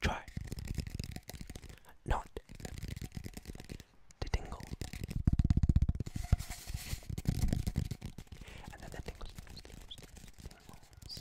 Try not to tingle. And then that tingles, tingles, tingles, tingles.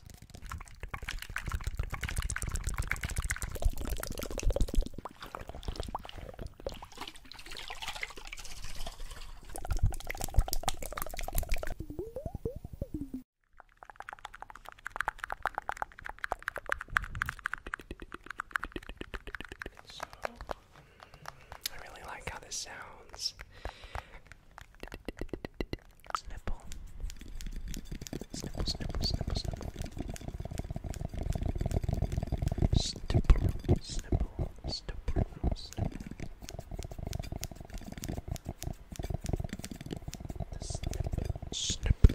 I really like how this sounds. Snipple. Snipple, snipple, snipple, snipple. Snipple, snipple, snipple, snipple.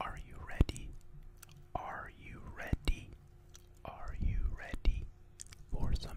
Are you ready? Are you ready? Are you ready for some?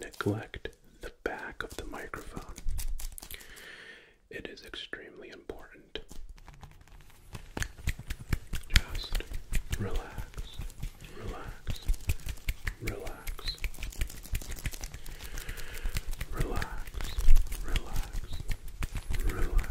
Neglect the back of the microphone. It is extremely important. Just relax, relax, relax, relax, relax, relax. Relax.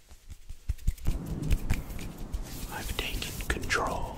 I've taken control.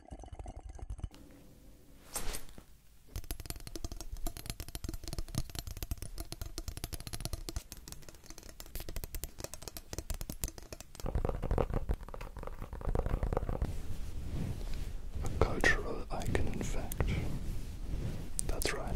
A cultural icon, in fact. That's right.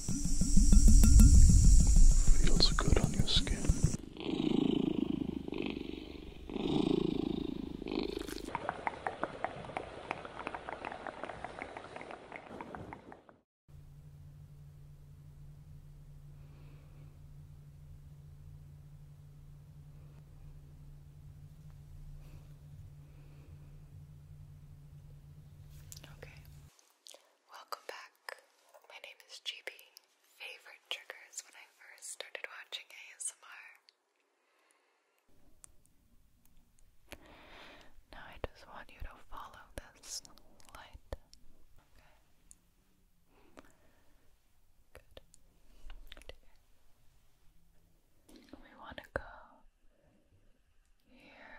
Feels good on your skin. Okay. Welcome back. My name is GP. Favorite triggers when I first started watching ASMR. Now I just want you to follow this light. Okay. Good. We want to go here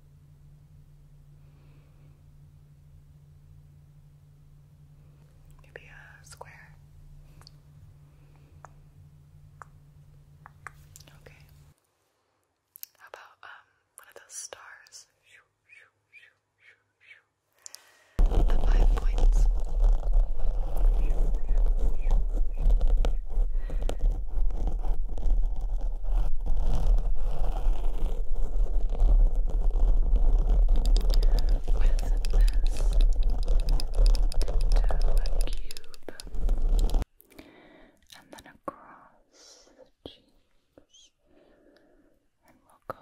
Maybe a square. Okay. How about um one of those stars? The five points this cube and then across the cheeks and we'll go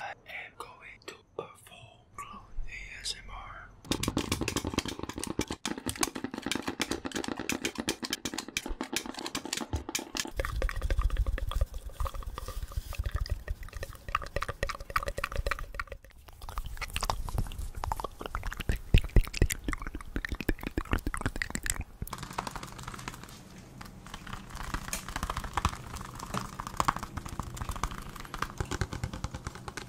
I am going to perform Full Clone ASMR.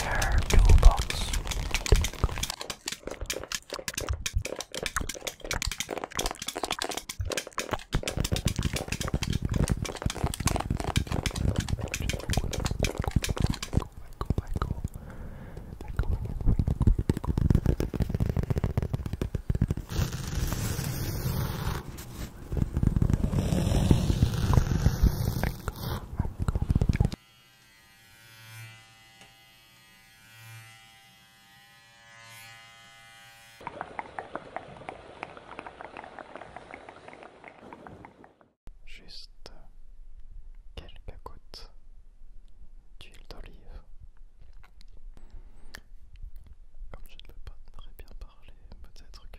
rare toolbox. Juste quelques gouttes d'huile d'olive. Comme je ne peux pas très bien parler, peut-être que...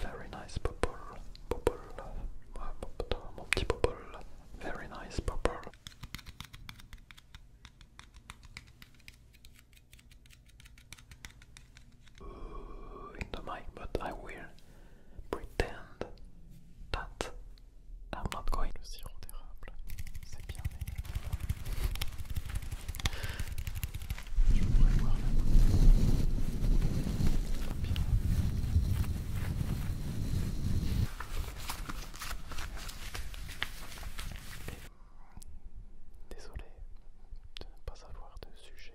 Very nice bubble, bubble, mon petit bubble, very nice bubble. In mic, but I will pretend that I'm not going. Le sirop d'érable, c'est bien meilleur. Je pourrais le voir là-bas. C'est pas Bien. Et, désolé de ne pas avoir de sujet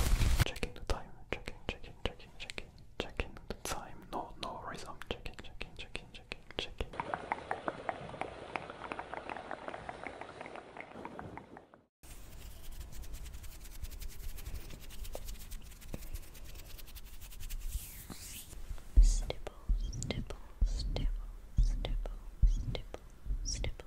Checking the time, checking, checking, checking, checking, checking the time. No, no rhythm. Checking, checking, checking, checking, checking. Stipple, stipple, stipple, stipple, stipple, stipple,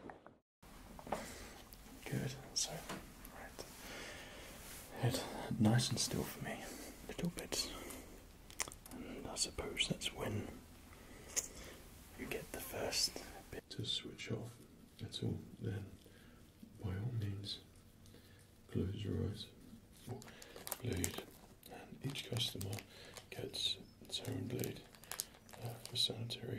Good. So, right. Head nice and still for me, a little bit. I suppose that's when you get the first bit to switch off That's all. Then, by all means, close your eyes. Bleed. And each customer gets siren blade uh, for sanitary.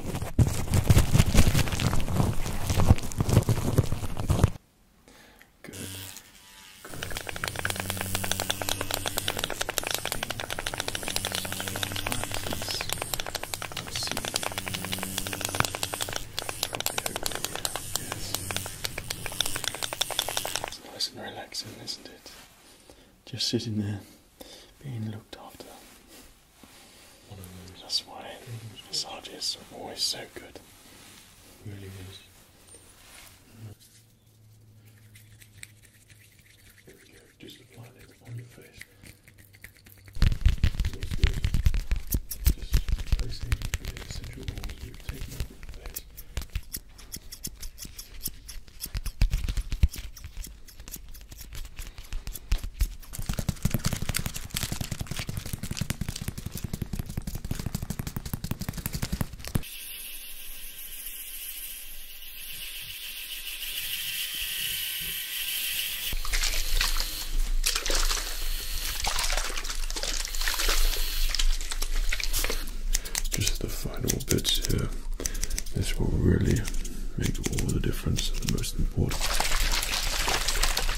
Good. It's nice and relaxing, isn't it? Just sitting there being looked after. That's why massages are always so good. Really is. There we Just applying it on your face. Looks good. Just placing the essential oils you've taken out of your face. Just the final bits here. This will really make all the difference the most important.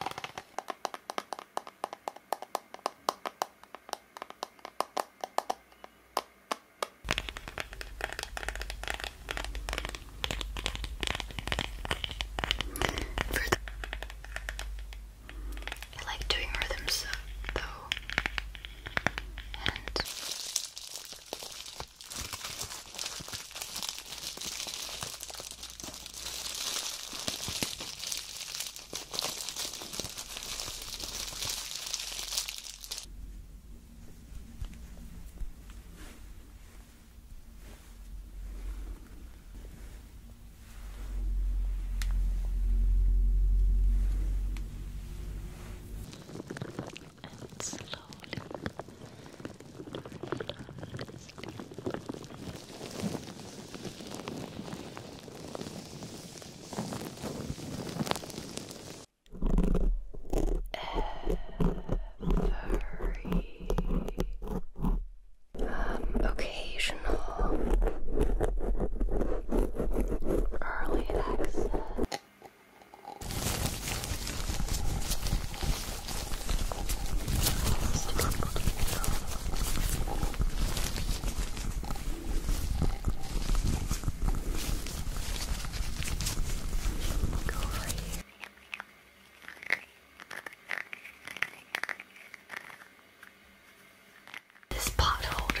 I like doing rhythms though, and slowly, slowly, slowly, very um, occasional early access. Go over here. This pot holder.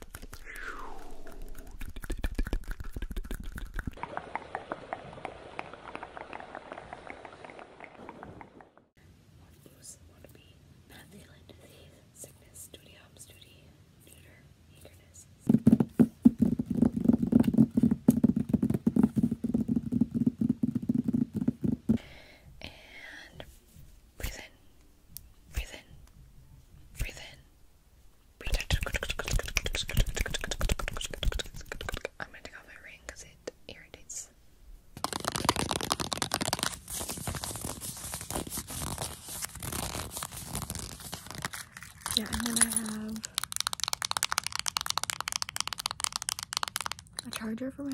Most would be Madeline disease, sickness, duty, hops, duty, neuter, eagerness. And breathe in, breathe in, breathe in. I'm gonna take off my ring it irritates. Yeah, I'm gonna have a charger for my.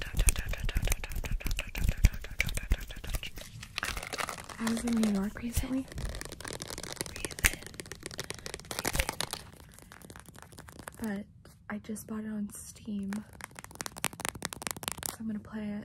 I was in New York recently. But I just bought it on Steam. So I'm gonna play it.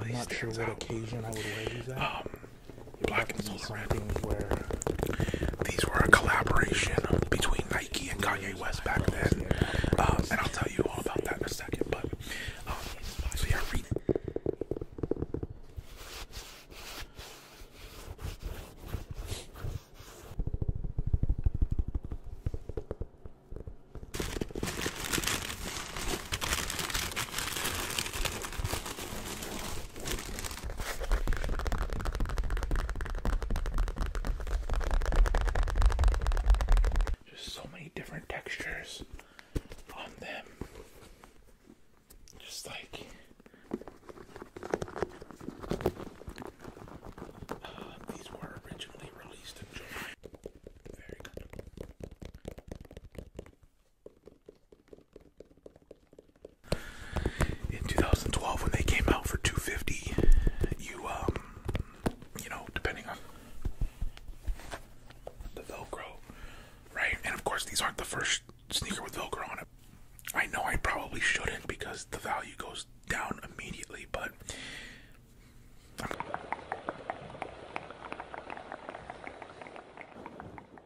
I'm not sure what occasion I would wear these at. Um, Black and Soul rapping these were a collaboration between Nike and Kanye West back then. Um, and I'll tell you all about that in a second, but um, so yeah, read. Just so many different textures on them. Just like uh, these were originally released in July. Very good. In 2012, when they came out for 250, you um, you know, depending on the Velcro, right? And of course, these aren't the first sneaker with Velcro on it. I know I probably shouldn't because the value goes down immediately, but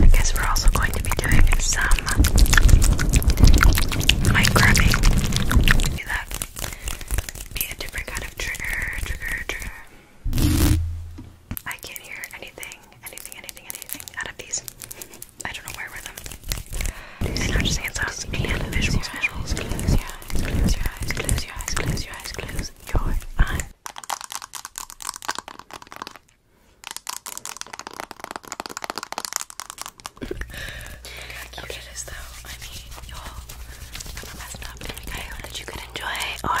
I guess we're also going to be doing some mic Be a different kind of trigger, trigger, trigger. I can't hear anything, anything, anything, anything out of these. I don't know where I'm just hands out and visuals, visuals. Close your eyes, close your eyes, close your eyes, close your eyes, close your eyes cute it is, though. I mean, y'all, I'm up. I hope that you could enjoy or.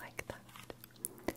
like that. Sleep it.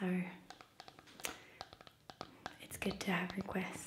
So it's good to have requests.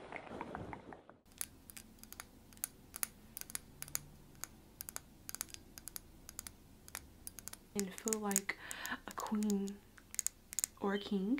and feel like a queen or a king.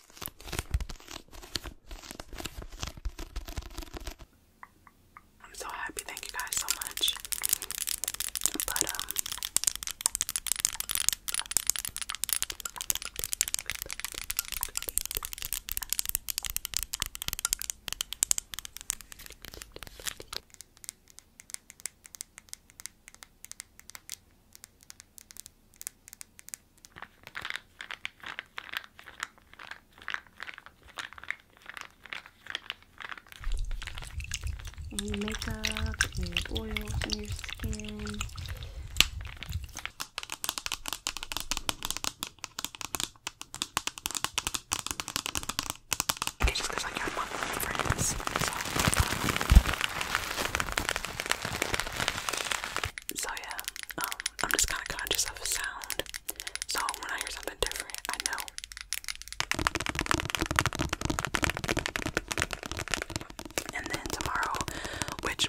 I'm so happy. Thank you guys so much. But um and makeup and oils in your skin. Okay, just because I got one friends. so um, yeah, um, I'm just kind of conscious of sound, so when I hear something different, I know. And then tomorrow, which